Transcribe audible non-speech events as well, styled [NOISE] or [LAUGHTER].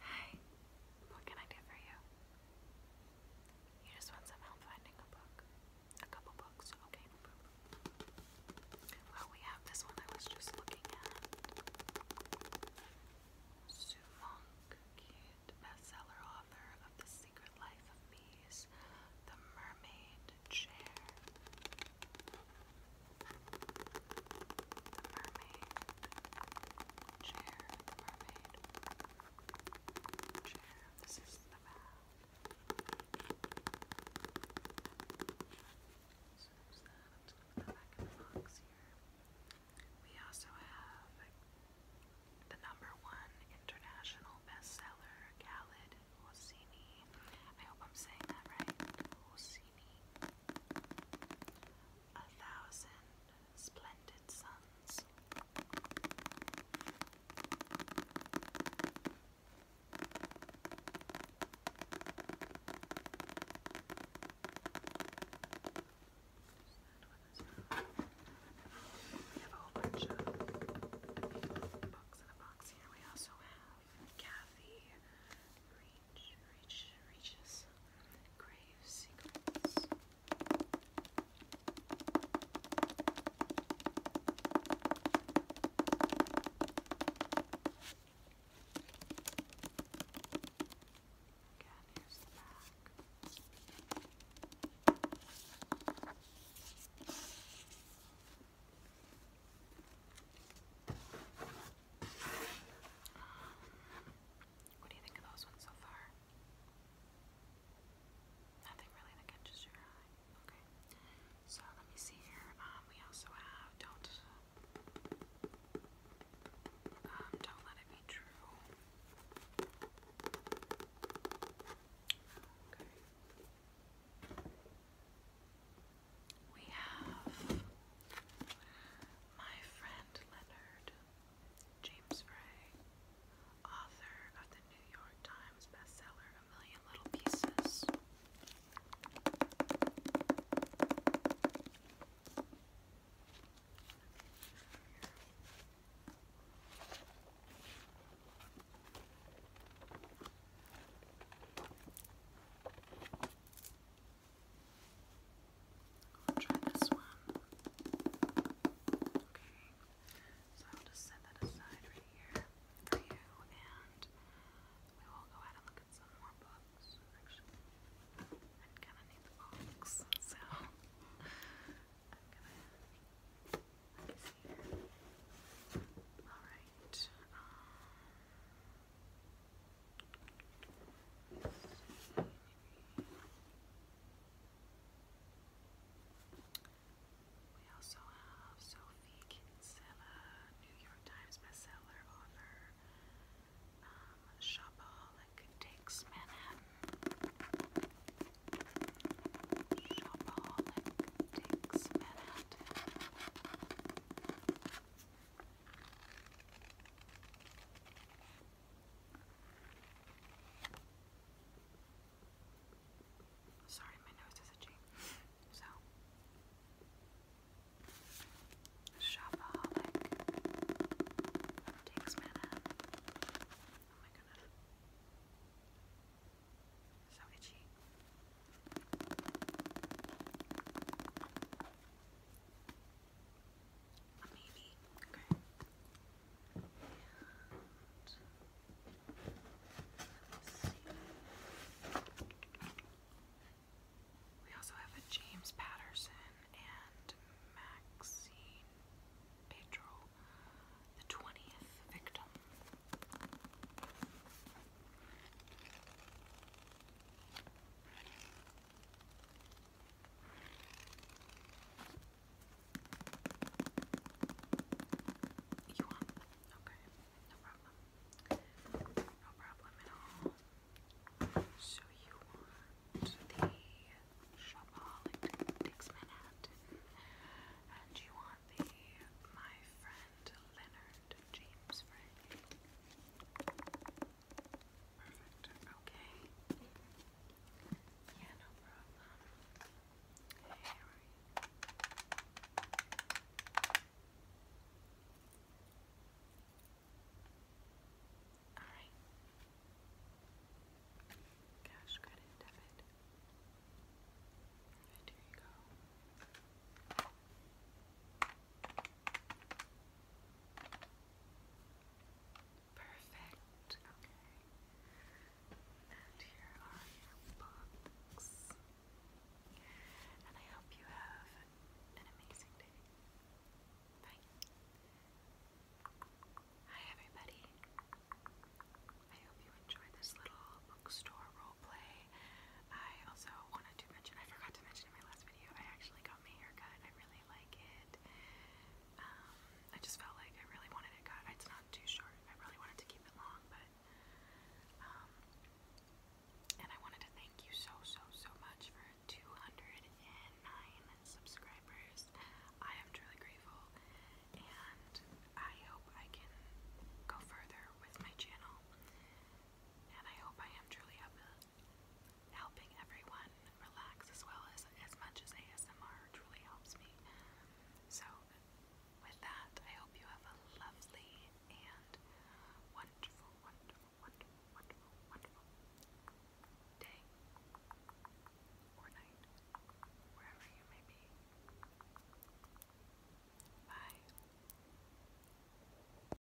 Hey, what can I do for you? You just want some help finding a book? A couple books, okay. Well, we have this one I was just looking at. Suvong Q bestseller author of The Secret Life of Bees, The Mermaid Chair. The Mermaid Chair. Mermaid Chair. This is the bath. So there's that. i back in the box here. We also have the number one international bestseller, Khaled Hosseini. I hope I'm saying that right. Hosseini. A Thousand Splendid Suns. We have a whole bunch of books in a box here. We also have Kathy Reach, Reach, Reaches, Grave Secrets. Again, What do you think of those ones so far? Nothing really that catches your eye. Okay. So let me see here. Um, we also have don't um, do We have my friend Leonard James Frey, author of the New York Times bestseller A Million Little Pieces i try this one. Okay. So I'll just set that aside right here for you and we will go ahead and look get some more books, actually. I kind of need the box, so [LAUGHS] I'm gonna. Let me see. Alright. Um. We also have Sophie Kinsella, New York Times bestseller author. Um, Takes Manhattan. Shopaholic Takes Manhattan. Sorry, my nose is itchy. So, shopaholic takes Manhattan. Oh my goodness. So Maybe. Okay. Let's We also have a James Patterson and Maxine Pedro, the 20th victim. You want? Okay, no problem. No problem at all. So you want the shopaholic Dix and you want the my friend Leonard James Frank. Okay. Yeah, no problem. Hey, how are you? Alright. Cash credit debit. Alright, here you go. Alright. Perfect. Okay. And here are your books. And I hope you have an amazing day. Bye. Hi everybody. I hope you enjoyed this little bookstore role play. I also wanted to mention I forgot to mention in my last video I actually got my hair cut. I really like it. Um, I just felt like I really wanted it cut. It's not too short. I really wanted to keep it long, but um, and I wanted to thank you so so so much for 209 subscribers. I am truly grateful, and I hope I can go further with my channel. And I hope I am truly a, helping everyone relax as well as as much as ASMR truly helps me. So with that, I hope you have a lovely and wonderful, wonderful, wonderful, wonderful, wonderful day or night, wherever you may be. Bye.